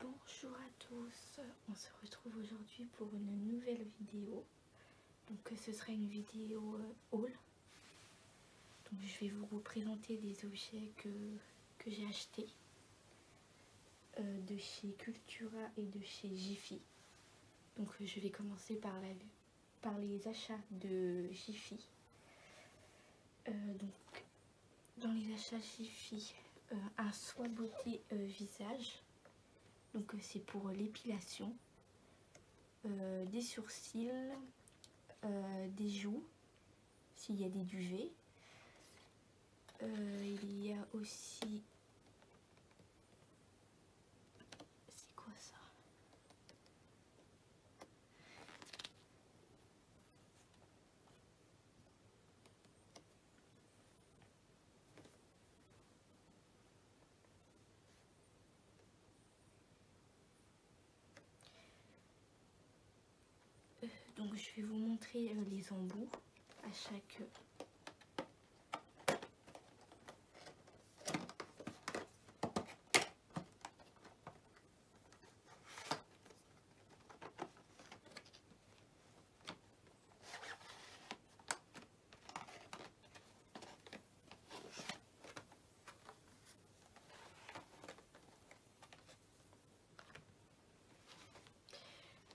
Bonjour à tous, on se retrouve aujourd'hui pour une nouvelle vidéo. Donc euh, ce sera une vidéo euh, haul. Donc je vais vous présenter des objets que, j'ai achetés euh, de chez Cultura et de chez Jiffy. Donc je vais commencer par, les achats de Jiffy dans les achats il euh, un soin beauté euh, visage donc euh, c'est pour euh, l'épilation des sourcils des joues s'il y a des duvets il y a aussi c'est quoi ça euh, donc je vais vous montrer euh, les embouts à chaque euh,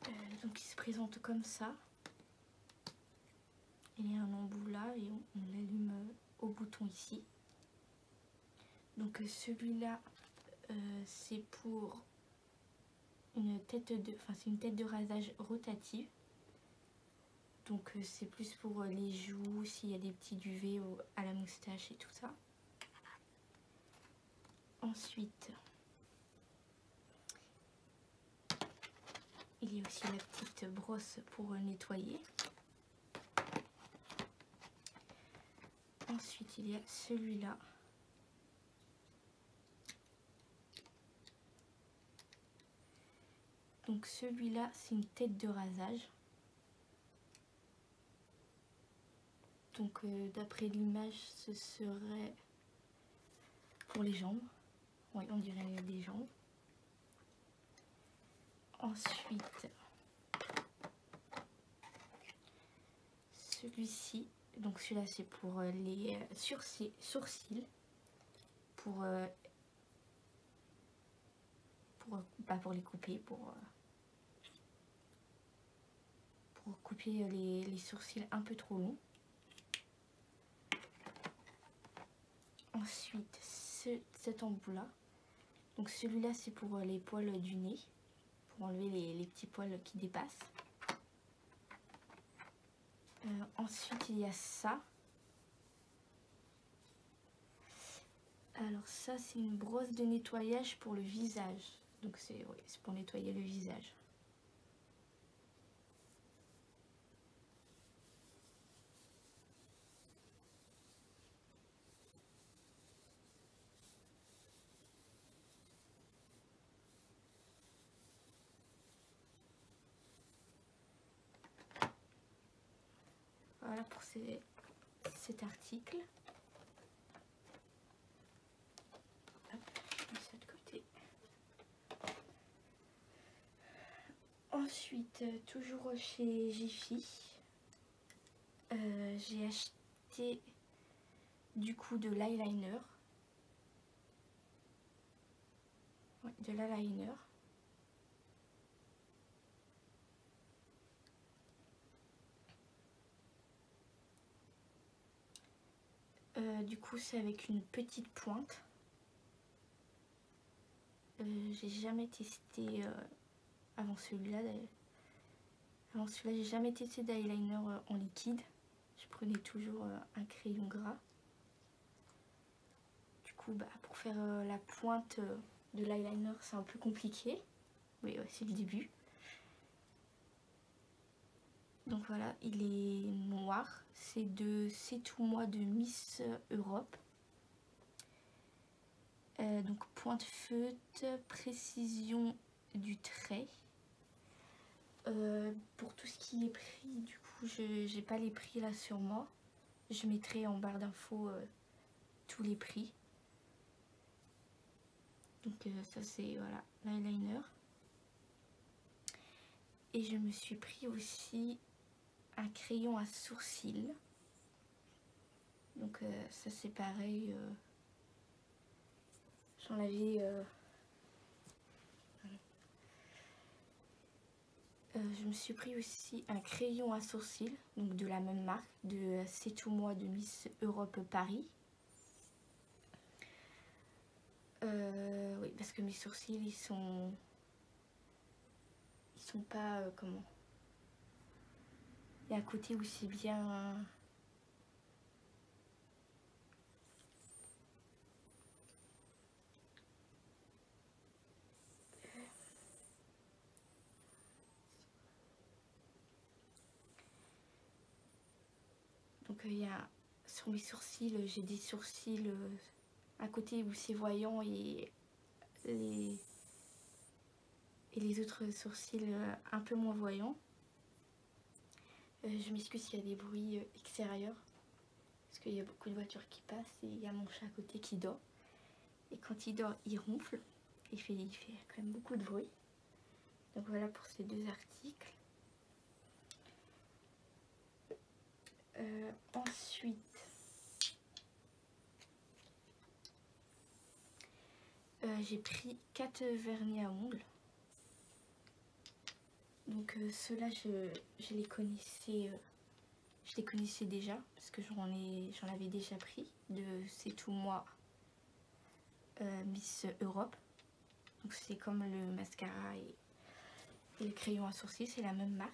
euh, donc il se présente comme ça. Il y a un embout là et on, on l'allume euh, au bouton ici. Donc euh, celui-là, euh, c'est pour une tête de, enfin une tête de rasage rotative. Donc euh, c'est plus pour les joues, s'il y a des petits duvets à la moustache et tout ça. Ensuite, il y a aussi la petite brosse pour nettoyer. Ensuite, il y a celui-là. Donc celui-là, c'est une tête de rasage. Donc euh, d'après l'image, ce serait pour les jambes. Oui, on dirait des jambes. Ensuite, celui-ci, donc celui-là c'est pour euh, les euh, sourcils, pour, euh, pas bah, pour les couper, pour, pour couper les, sourcils un peu trop longs. Ensuite, cet embout là donc celui-là c'est pour euh, les poils du nez, pour enlever les, petits poils qui dépassent. Euh, ensuite il y a ça. Alors ça c'est une brosse de nettoyage pour le visage. Donc c'est pour nettoyer le visage. Voilà pour cet article. De côté. Ensuite, euh, toujours chez Jiffy, euh, j'ai acheté du coup de l'eyeliner. de l'eyeliner. Euh, du coup c'est avec une petite pointe. Euh, j'ai jamais testé avant celui-là d'ailleurs. Avant celui-là, j'ai jamais testé d'eyeliner euh, en liquide. Je prenais toujours euh, un crayon gras. Du coup, bah, pour faire euh, la pointe de l'eyeliner, c'est un peu compliqué. Mais c'est le début. Donc voilà, il est noir. C'est de C'est tout moi de Miss Europe. Euh, donc point de feutre, précision du trait. Euh, pour tout ce qui est prix, du coup, je n'ai pas les prix là sur moi. Je mettrai en barre d'infos euh, tous les prix. Donc ça c'est voilà l'eyeliner. Et je me suis pris aussi un crayon à sourcils. Donc euh, ça c'est pareil j'en euh, avais, euh, je me suis pris aussi un crayon à sourcils, donc de la même marque, de C'est tout moi de Miss Europe Paris. oui, parce que mes sourcils, ils sont... Ils sont pas... comment et à côté aussi bien... Euh, donc euh, il y a sur mes sourcils, euh, j'ai des sourcils à côté où c'est voyant et les, et les autres sourcils euh, un peu moins voyants. Euh, je m'excuse s'il y a des bruits euh, extérieurs, parce qu'il y a beaucoup de voitures qui passent et il y a mon chat à côté qui dort. Et quand il dort, il ronfle, il fait, il fait quand même beaucoup de bruit. Donc voilà pour ces deux articles. ensuite, euh, j'ai pris 4 vernis à ongles. Donc euh, ceux-là, je, les connaissais, euh, je les connaissais déjà parce que j'en avais déjà pris de C'est tout moi Miss Europe. Donc c'est comme le mascara et le crayon à sourcils, c'est la même marque.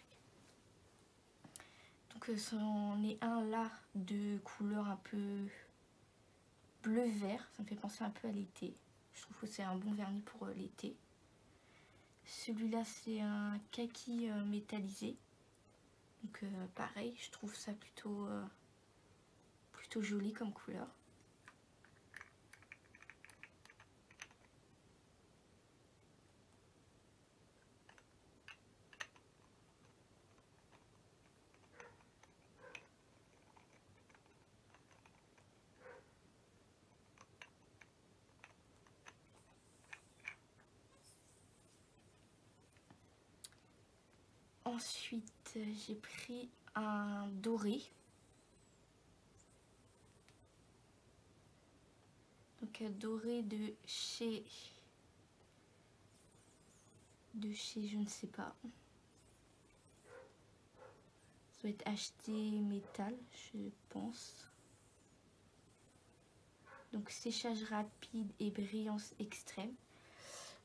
Donc c'en euh, est un là de couleur un peu bleu-vert. Ça me fait penser un peu à l'été. Je trouve que c'est un bon vernis pour euh, l'été. Celui-là c'est un kaki euh, métallisé. Donc pareil, je trouve ça plutôt, plutôt joli comme couleur. Ensuite, j'ai pris un doré. Donc, un doré de chez de chez je ne sais pas. Ça acheter métal, je pense. Donc séchage rapide et brillance extrême.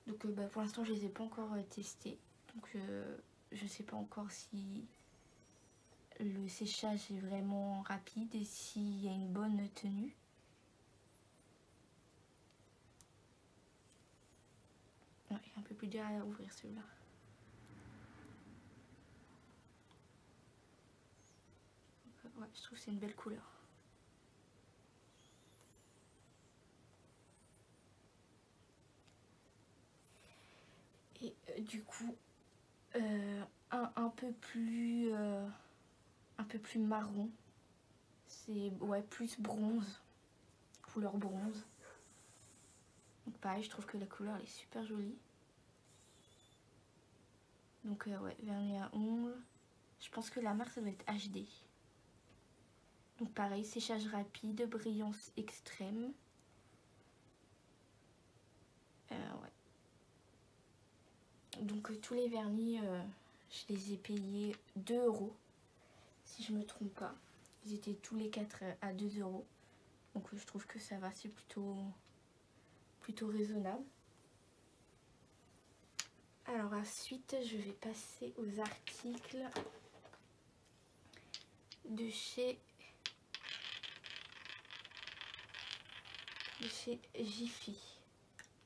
Donc euh, bah, pour l'instant je ne les ai pas encore testé euh, testés. Donc je euh, je sais pas encore si le séchage est vraiment rapide et s'il y a une bonne tenue un peu plus derrière à ouvrir celui-là. Ouais, je trouve c'est une belle couleur. Et euh, du coup, euh, un, un peu plus... Euh, un peu plus marron. C'est ouais, plus bronze, couleur bronze. Donc pareil, je trouve que la couleur est super jolie. Donc euh, ouais, vernis à ongles. Je pense que la marque ça doit être HD. Donc pareil, séchage rapide, brillance extrême. Euh, ouais. Donc euh, tous les vernis, euh, je les ai payés 2 euros, si je me trompe pas. Ils étaient tous les 4 euh, à 2 euros. Donc je trouve que ça va, c'est plutôt, plutôt raisonnable. Alors ensuite, je vais passer aux articles de chez de chez Jiffy.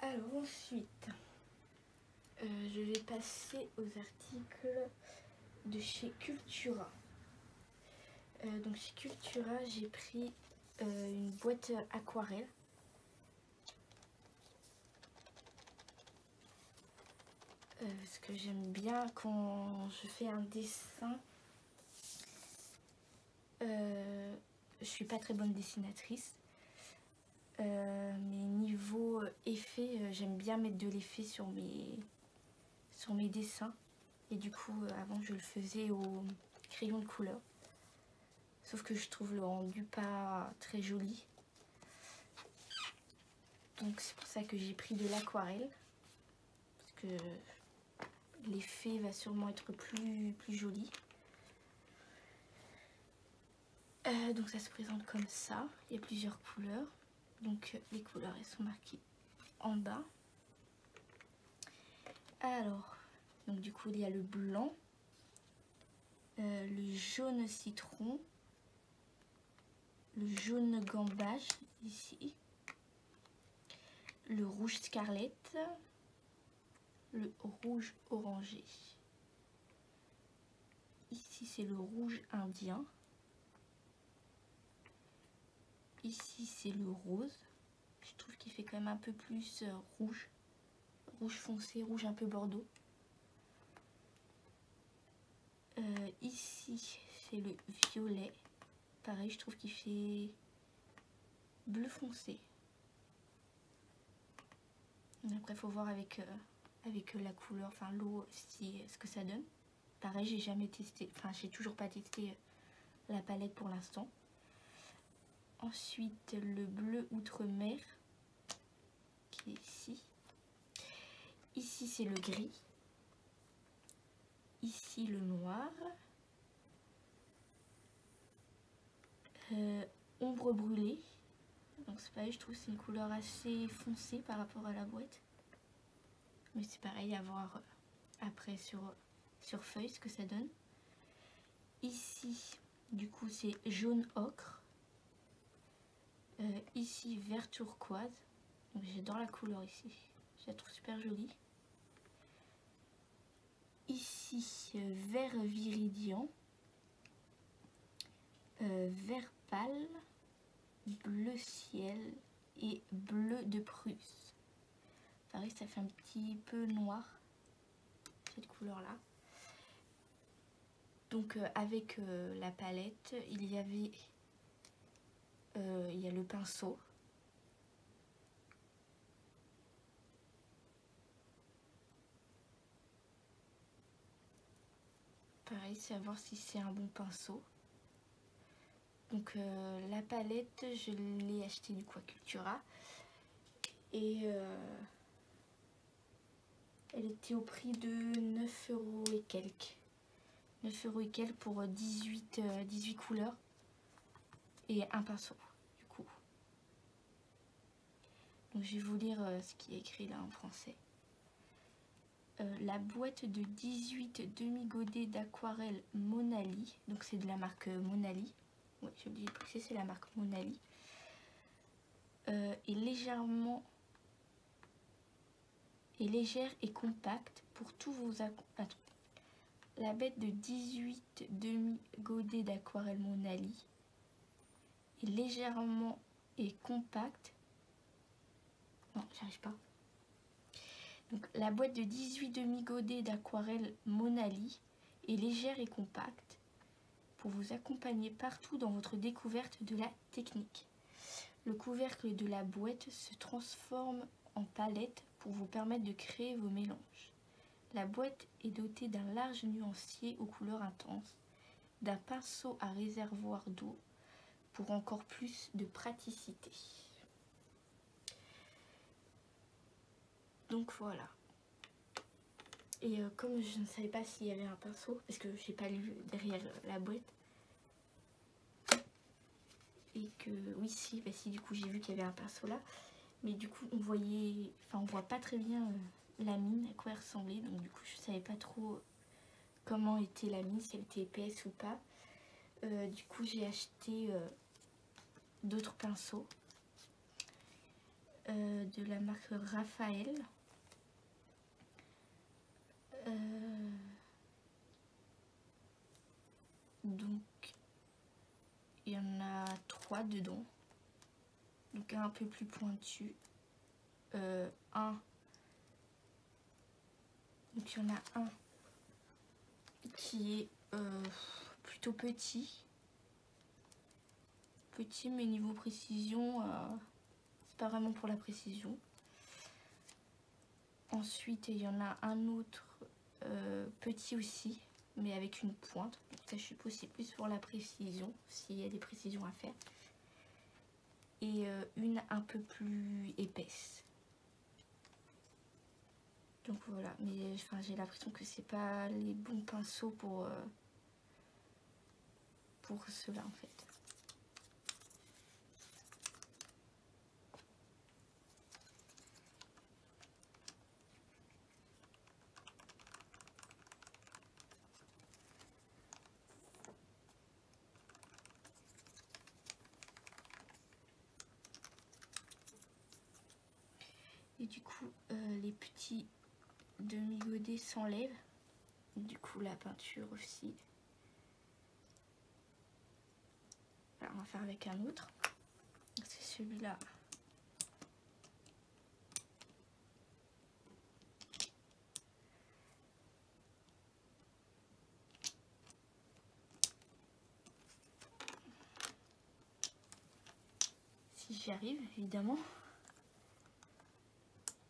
Alors ensuite, euh, je vais passer aux articles de chez Cultura. Euh, donc chez Cultura, j'ai pris euh, une boîte aquarelle. parce que j'aime bien quand je fais un dessin. je suis pas très bonne dessinatrice. Euh, mais niveau euh, effet, euh, j'aime bien mettre de l'effet sur mes, sur mes dessins. Et du coup, avant, je le faisais au crayon de couleur. Sauf que je trouve le rendu pas très joli. Donc c'est pour ça que j'ai pris de l'aquarelle. Parce que l'effet va sûrement être plus, plus joli. Euh, donc ça se présente comme ça, il y a plusieurs couleurs, donc euh, les couleurs elles sont marquées en bas. Alors, donc du coup il y a le blanc, euh, le jaune citron, le jaune gambage ici, le rouge scarlet, le rouge orangé. Ici, c'est le rouge indien. Ici, c'est le rose. Je trouve qu'il fait quand même un peu plus euh, rouge. Rouge foncé, rouge un peu bordeaux. Euh, ici, c'est le violet. Pareil, je trouve qu'il fait bleu foncé. Après, il faut voir avec, euh, avec euh, la couleur, enfin l'eau, ce que ça donne. Pareil, j'ai jamais testé, enfin, j'ai toujours pas testé euh, la palette pour l'instant. Ensuite, le bleu outre-mer, qui est ici. Ici, c'est le gris. Ici, le noir. ombre brûlée. Donc c'est pareil, je trouve c'est une couleur assez foncée par rapport à la boîte. Mais c'est pareil à voir euh, après sur, feuille ce que ça donne. Ici, du coup, c'est jaune ocre. Euh, ici, vert turquoise. j'adore la couleur ici. Je la trouve super jolie. Ici, euh, vert viridian. Euh, vert pâle, bleu ciel et bleu de Prusse. Pareil, ça fait un petit peu noir, cette couleur-là. Donc euh, avec euh, la palette, il y avait il y a le pinceau. Pareil, savoir si c'est un bon pinceau. Donc euh, la palette, je l'ai acheté du Quacultura. Et euh, elle était au prix de 9 euros et quelques. 9 euros et quelques pour 18, euh, 18 couleurs et un pinceau du coup. Donc je vais vous lire ce qui est écrit là en français. Euh, la boîte de 18 demi-godets d'aquarelle Monali. Donc c'est de la marque euh, Monali. Oui, vous c'est la marque Monali. est euh, légèrement est légère et compacte pour tous vos La bête de 18 demi-godets d'aquarelle Monali légèrement et compacte. Non, j'arrive pas. Donc la boîte de 18 demi-godets d'aquarelle Monali est légère et compacte pour vous accompagner partout dans votre découverte de la technique. Le couvercle de la boîte se transforme en palette pour vous permettre de créer vos mélanges. La boîte est dotée d'un large nuancier aux couleurs intenses d'un pinceau à réservoir d'eau pour encore plus de praticité. Donc voilà. Et euh, comme je ne savais pas s'il y avait un pinceau, parce que j'ai pas lu derrière la boîte, et que oui si, bah si du coup j'ai vu qu'il y avait un pinceau là, mais du coup on voyait, enfin on voit pas très bien euh, la mine, à quoi elle ressemblait, donc du coup je savais pas trop comment était la mise, si elle était épaisse ou pas. Euh, du coup, j'ai acheté euh, d'autres pinceaux euh, de la marque Raphaël. donc, il y en a trois dedans. Donc un peu plus pointu euh, un. Donc il y en a un qui est euh, plutôt petit. Petit mais niveau précision, euh, c'est pas vraiment pour la précision. Ensuite il y en a un autre petit aussi mais avec une pointe. Donc ça je suppose c'est plus pour la précision, s'il y a des précisions à faire et euh, une un peu plus épaisse. Donc voilà, mais enfin, j'ai l'impression que c'est pas les bons pinceaux pour, euh, pour cela en fait. Et du coup, euh, les petits demi-godets s'enlèvent. Du coup, la peinture aussi. Alors, on va faire avec un autre. C'est celui-là. Si j'y arrive, évidemment.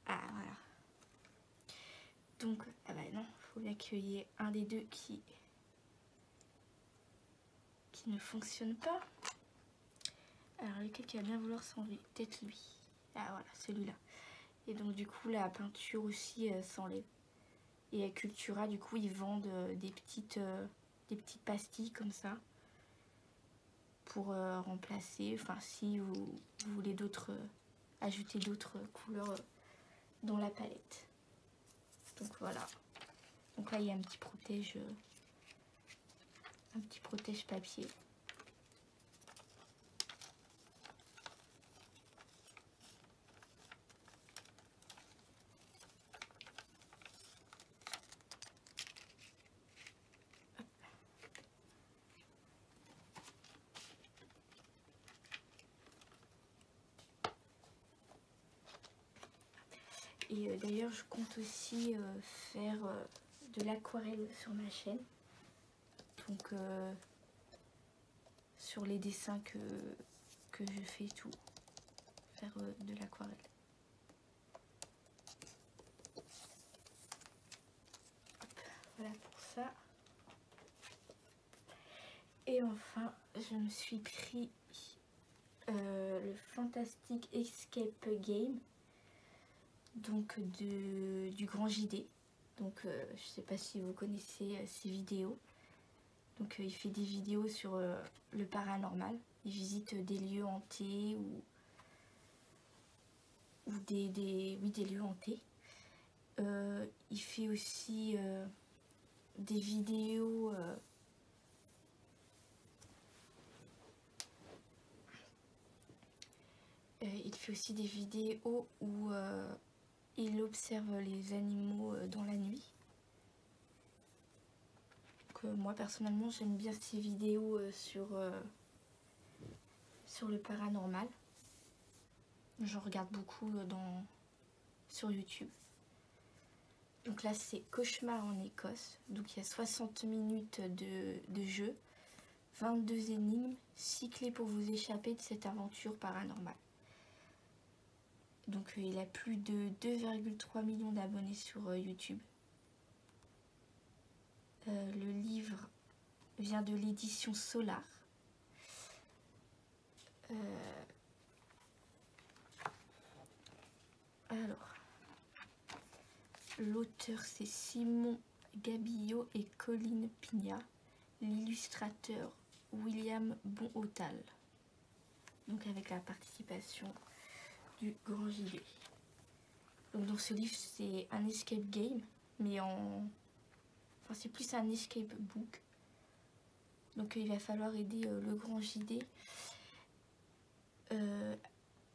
Ah, voilà. Donc, ah bah non, il faut ait un des deux qui qui ne fonctionne pas. Alors lequel qui va bien vouloir s'enlever Peut-être lui. Ah voilà, celui-là. Et donc du coup la peinture aussi euh, s'enlève. Et Cultura, du coup, ils vendent euh, des, petites, euh, des petites pastilles comme ça pour remplacer, enfin si vous, vous voulez d'autres, ajouter d'autres couleurs dans la palette. Donc voilà. Donc là il y a un petit protège, un petit protège papier. Et euh, d'ailleurs, je compte aussi euh, faire euh, de l'aquarelle sur ma chaîne. Donc, euh, sur les dessins que, je fais tout, faire euh, de l'aquarelle. Voilà pour ça. Et enfin, je me suis pris euh, le Fantastic Escape Game donc du Grand JD. Donc je euh, je sais pas si vous connaissez ses euh, vidéos. Donc euh, il fait des vidéos sur le paranormal. Il visite des lieux hantés ou, ou des, lieux hantés. il fait aussi des vidéos euh, il fait aussi des vidéos où euh, il observe les animaux euh, dans la nuit. Que moi personnellement j'aime bien ces vidéos sur, le paranormal. Je regarde beaucoup sur YouTube. Donc là, c'est Cauchemar en Écosse. Donc il y a 60 minutes de jeu. 22 énigmes, 6 clés pour vous échapper de cette aventure paranormale. Donc euh, il a plus de 2,3 millions d'abonnés sur euh, YouTube. Euh, le livre vient de l'édition Solar. Alors, L'auteur c'est Simon Gabillot et Coline Pignat. L'illustrateur William Bonhotal. Donc avec la participation du Grand jd Donc dans ce livre c'est un escape game, mais en... Enfin c'est plus un escape book. Donc il va falloir aider euh, le Grand JD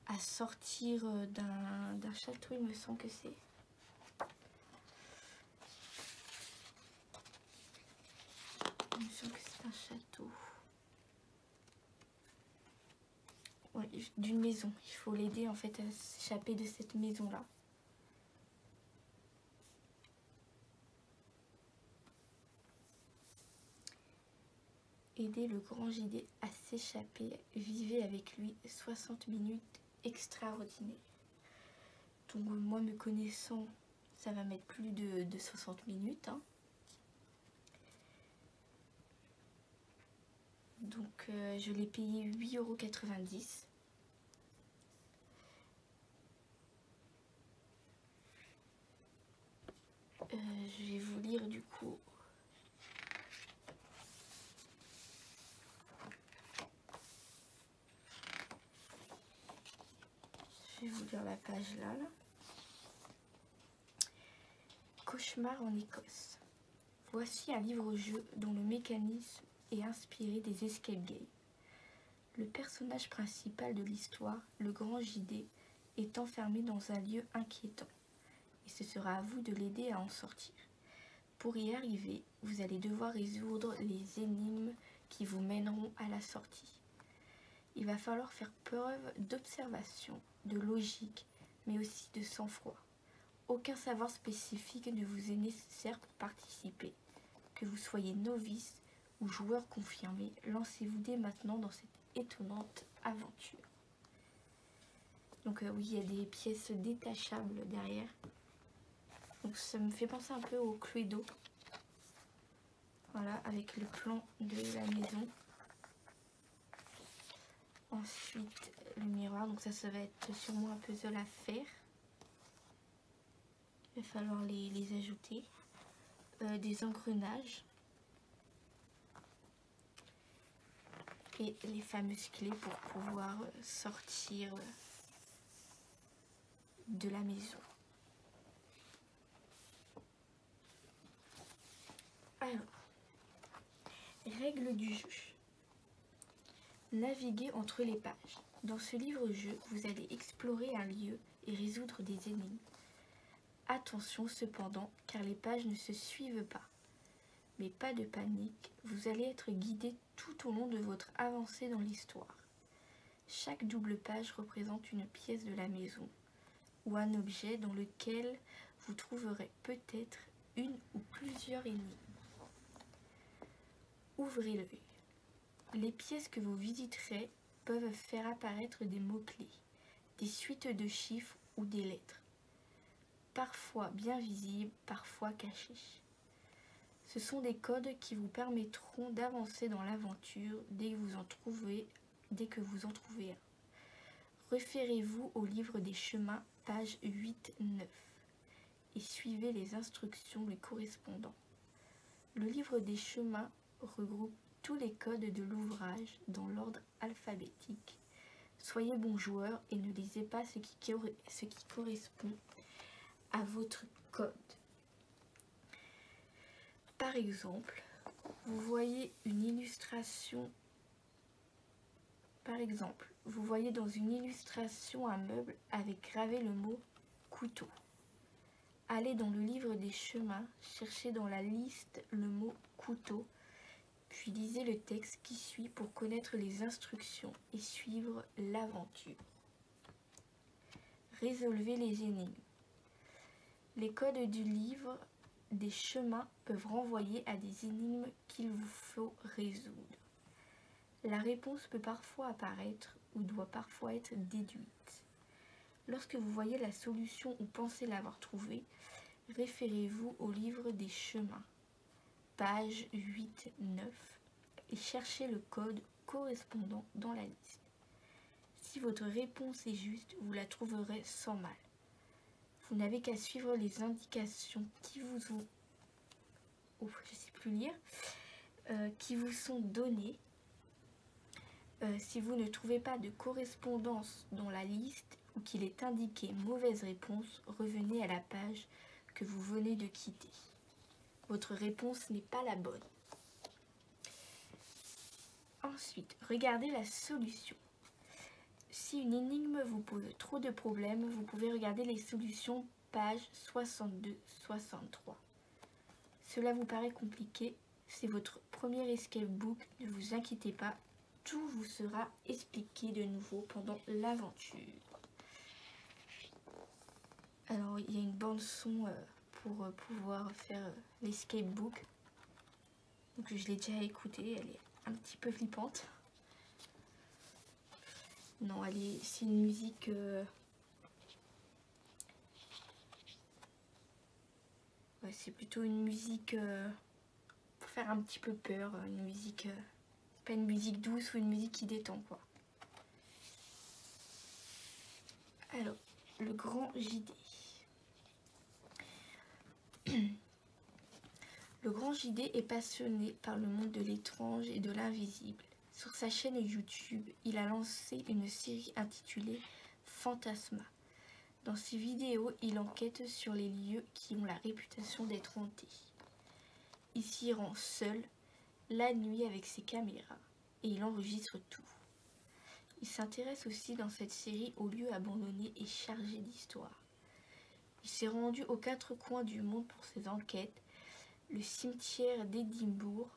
à sortir euh, d'un château, il me semble que c'est. Il me semble que c'est un château. d'une maison. Il faut l'aider en fait à s'échapper de cette maison-là. Aider le grand gilet à s'échapper. Vivez avec lui 60 minutes extraordinaires. Donc moi me connaissant, ça va mettre plus de, 60 minutes. Hein. Donc euh, je l'ai payé 8,90 euros. Euh, je vais vous lire du coup je vais vous lire la page là. Cauchemar en Écosse. Voici un livre-jeu dont le mécanisme est inspiré des escape games. Le personnage principal de l'histoire, le grand JD, est enfermé dans un lieu inquiétant et ce sera à vous de l'aider à en sortir. Pour y arriver, vous allez devoir résoudre les énigmes qui vous mèneront à la sortie. Il va falloir faire preuve d'observation, de logique, mais aussi de sang-froid. Aucun savoir spécifique ne vous est nécessaire pour participer. Que vous soyez novice ou joueur confirmé, lancez-vous dès maintenant dans cette étonnante aventure. Donc euh, oui, il y a des pièces détachables derrière. Donc ça me fait penser un peu au d'eau, Voilà, avec le plan de la maison. Ensuite, le miroir. Donc ça, ça va être sûrement un puzzle à faire. Il va falloir les, ajouter. Euh, des engrenages et les fameuses clés pour pouvoir euh, sortir euh, de la maison. Alors, règles du jeu. Naviguer entre les pages. Dans ce livre-jeu, vous allez explorer un lieu et résoudre des énigmes. Attention cependant, car les pages ne se suivent pas mais pas de panique, vous allez être guidé tout au long de votre avancée dans l'histoire. Chaque double page représente une pièce de la maison ou un objet dans lequel vous trouverez peut-être une ou plusieurs énigmes. Ouvrez le Les pièces que vous visiterez peuvent faire apparaître des mots-clés, des suites de chiffres ou des lettres parfois bien visibles, parfois cachés. Ce sont des codes qui vous permettront d'avancer dans l'aventure dès que vous en trouvez, un. Référez-vous au livre des chemins, page 8-9, et suivez les instructions lui correspondant. Le livre des chemins regroupe tous les codes de l'ouvrage dans l'ordre alphabétique. Soyez bon joueur et ne lisez pas ce qui, correspond à votre code. Par exemple, vous voyez une illustration. Par exemple, vous voyez dans une illustration un meuble avec gravé le mot couteau. Allez dans le livre des chemins, cherchez dans la liste le mot couteau puis lisez le texte qui suit pour connaître les instructions et suivre l'aventure. Résolvez les énigmes. Les codes du livre des chemins peuvent renvoyer à des énigmes qu'il vous faut résoudre. La réponse peut parfois apparaître ou doit parfois être déduite. Lorsque vous voyez la solution ou pensez l'avoir trouvée, référez-vous au livre des chemins, page 8-9, et cherchez le code correspondant dans la liste. Si votre réponse est juste, vous la trouverez sans mal. Vous n'avez qu'à suivre les indications qui vous ont... Oh, plus lire. Euh, qui vous sont données. Euh, si vous ne trouvez pas de correspondance dans la liste, ou qu'il est indiqué mauvaise réponse, revenez à la page que vous venez de quitter. Votre réponse n'est pas la bonne. Ensuite, regardez la solution. Si une énigme vous pose trop de problèmes, vous pouvez regarder les solutions page 62-63. Cela vous paraît compliqué, c'est votre premier escape book, ne vous inquiétez pas, tout vous sera expliqué de nouveau pendant l'aventure. Alors il y a une bande son euh, pour euh, pouvoir faire euh, l'escape book. Donc je l'ai déjà écoutée, elle est un petit peu flippante. Non, elle est, c'est une musique c'est plutôt une musique pour faire un petit peu peur, euh, une musique, euh, pas une musique douce ou une musique qui détend quoi. Alors, le grand JD. Le grand JD est passionné par le monde de l'étrange et de l'invisible. Sur sa chaîne YouTube, il a lancé une série intitulée Fantasma. Dans ses vidéos, il enquête sur les lieux qui ont la réputation d'être hantés. Il s'y rend seul, la nuit avec ses caméras, et il enregistre tout. Il s'intéresse aussi dans cette série aux lieux abandonnés et chargés d'histoire. Il s'est rendu aux quatre coins du monde pour ses enquêtes, le cimetière d'Édimbourg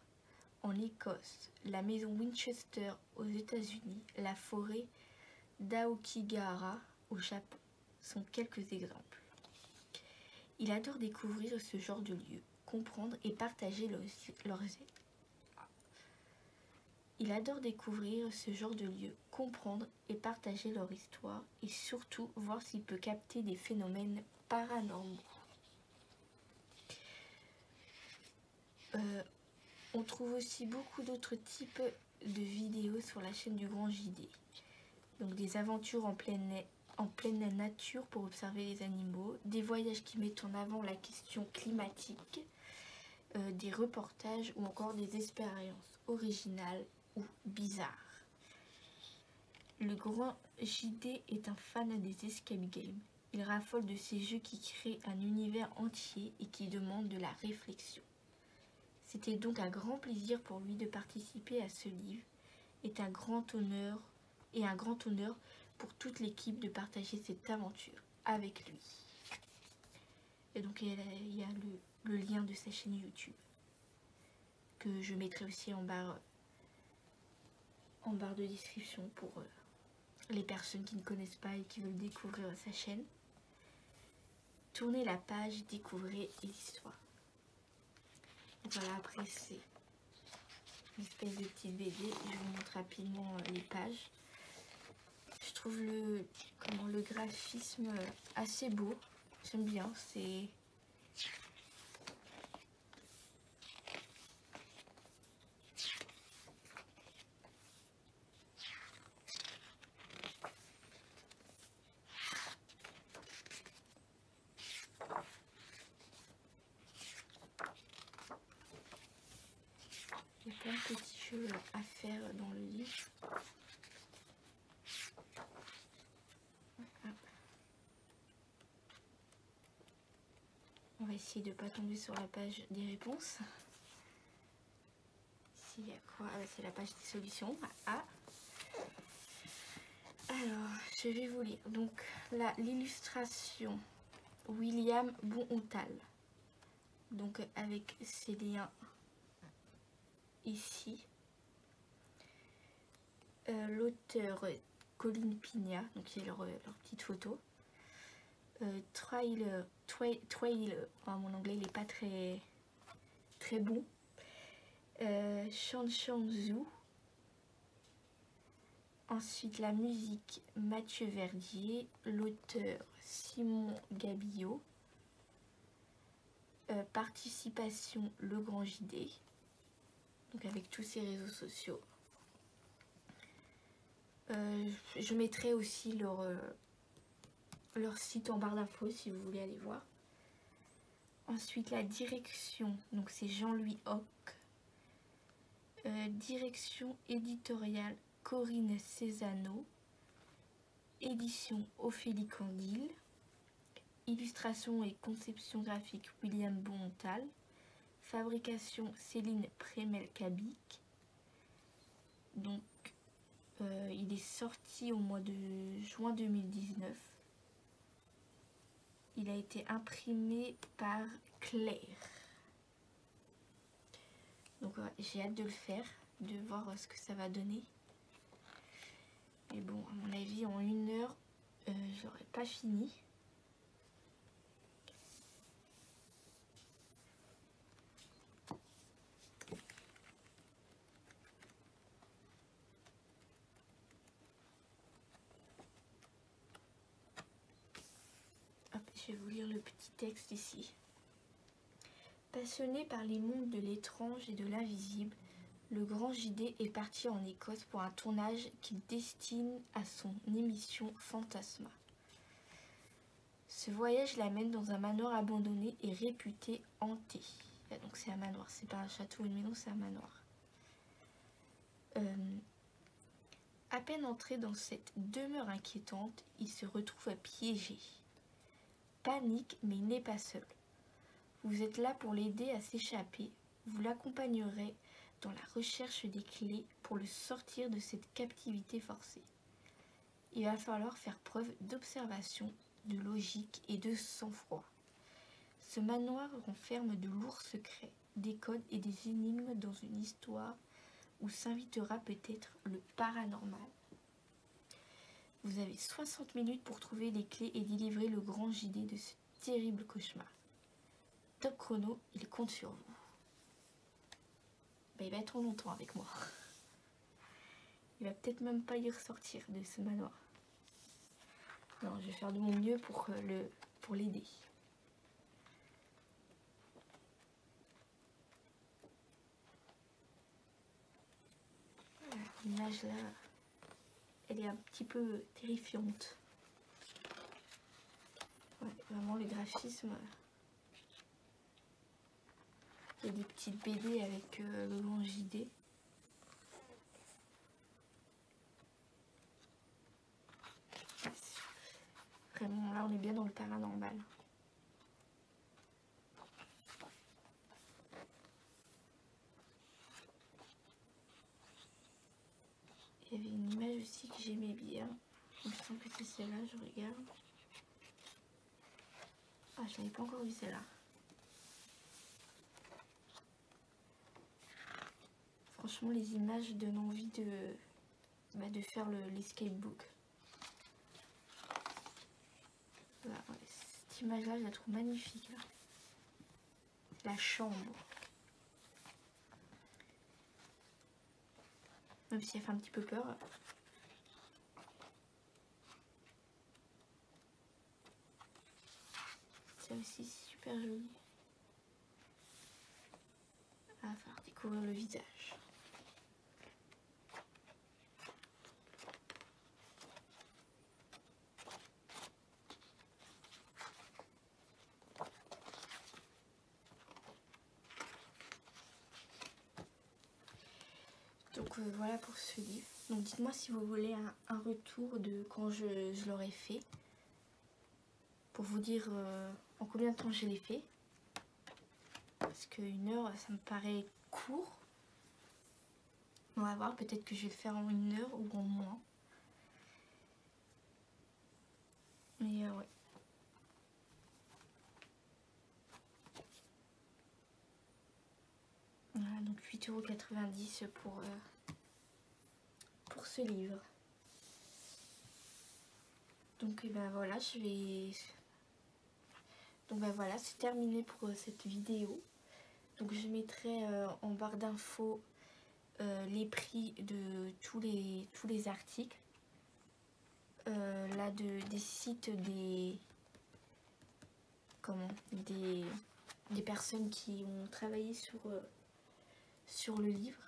en Écosse, la maison Winchester aux États-Unis, la forêt d'Aokigahara au Japon sont quelques exemples. Il adore découvrir ce genre de lieux, comprendre et partager Il adore découvrir ce genre de comprendre et partager leur histoire et surtout voir s'il peut capter des phénomènes paranormaux. Euh, on trouve aussi beaucoup d'autres types de vidéos sur la chaîne du Grand JD. Donc des aventures en pleine, en pleine nature pour observer les animaux, des voyages qui mettent en avant la question climatique, euh, des reportages ou encore des expériences originales ou bizarres. Le Grand JD est un fan des escape games. Il raffole de ces jeux qui créent un univers entier et qui demandent de la réflexion. C'était donc un grand plaisir pour lui de participer à ce livre et un grand honneur et un grand honneur pour toute l'équipe de partager cette aventure avec lui. Et donc il y a le, lien de sa chaîne YouTube que je mettrai aussi en barre en barre de description pour euh, les personnes qui ne connaissent pas et qui veulent découvrir sa chaîne. Tournez la page, découvrez l'histoire. Voilà, après c'est une espèce de petit BD. Je vous montre rapidement euh, les pages. Je trouve le, comment, le graphisme euh, assez beau. J'aime bien, c'est... Il y plein de petits à faire dans le lit. On va essayer de ne pas tomber sur la page des réponses quoi ah bah, C'est la page des solutions. Ah, Alors, je vais vous lire. Donc, là, l'illustration William Bonhontal. Donc, avec ses liens ici. Euh, l'auteur euh, Colin Pigna, donc il leur petite photo. Euh, trailer, euh, mon euh, anglais n'est pas très, très bon. Euh, Zhu Ensuite, la musique, Mathieu Verdier. L'auteur, Simon Gabillot. participation, Le Grand JD. Donc avec tous ces réseaux sociaux. je mettrai aussi leur, leur site en barre d'infos si vous voulez aller voir. Ensuite, la direction, donc c'est Jean-Louis Hoc. Euh, direction éditoriale Corinne Cesano. Édition Ophélie Candil. Illustration et conception graphique William Bontal. Fabrication Céline prémel donc, euh, il est sorti au mois de juin 2019. Il a été imprimé par Claire. Donc, euh, j'ai hâte de le faire, de voir euh, ce que ça va donner. Mais bon, à mon avis, en une heure, j'aurais pas fini je vais vous lire le petit texte ici. Passionné par les mondes de l'étrange et de l'invisible, le grand JD est parti en Écosse pour un tournage qu'il destine à son émission Fantasma. Ce voyage l'amène dans un manoir abandonné et réputé hanté. Ah, donc c'est un manoir, c'est pas un château ou une maison, c'est un manoir. Euh, à peine entré dans cette demeure inquiétante, il se retrouve piégé. Panique, mais il n'est pas seul. Vous êtes là pour l'aider à s'échapper. Vous l'accompagnerez dans la recherche des clés pour le sortir de cette captivité forcée. Il va falloir faire preuve d'observation, de logique et de sang-froid. Ce manoir renferme de lourds secrets, des codes et des énigmes dans une histoire où s'invitera peut-être le paranormal. Vous avez 60 minutes pour trouver les clés et délivrer le grand JD de ce terrible cauchemar. Top chrono, il compte sur vous. Bah, il va être longtemps avec moi. Il va peut-être même pas y ressortir de ce manoir. Non, je vais faire de mon mieux pour euh, le pour l'aider. Ah, l'image là, elle est un petit peu terrifiante. vraiment le graphisme, il y a des petites BD avec euh, le grand JD. Vraiment, là on est bien dans le paranormal. Il y avait une image aussi que j'aimais bien. Je sens que c'est celle-là, je regarde. Ah, je n'avais pas encore vu celle-là. Franchement, les images donnent envie de, bah, de faire l'escape book. cette image-là, je la trouve magnifique. La chambre. Même si elle fait un petit peu peur. C'est aussi super joli. À faire découvrir le visage. Donc euh, voilà pour ce livre. Donc dites-moi si vous voulez un, retour de quand je, l'aurai fait. Pour vous dire euh, en combien de temps je l'ai fait. Parce qu'une heure, ça me paraît court. On va voir, peut-être que je vais le faire en une heure ou en moins. Mais euh, ouais. Voilà, donc 8,90€ pour, euh, pour ce livre. Donc eh ben voilà, je vais... Donc ben voilà, c'est terminé pour euh, cette vidéo. Donc je mettrai euh, en barre d'infos les prix de tous les, tous les articles. Euh, là de, des sites des comment des, des personnes qui ont travaillé sur euh, sur le livre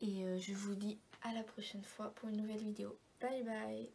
et euh, je vous dis à la prochaine fois pour une nouvelle vidéo bye bye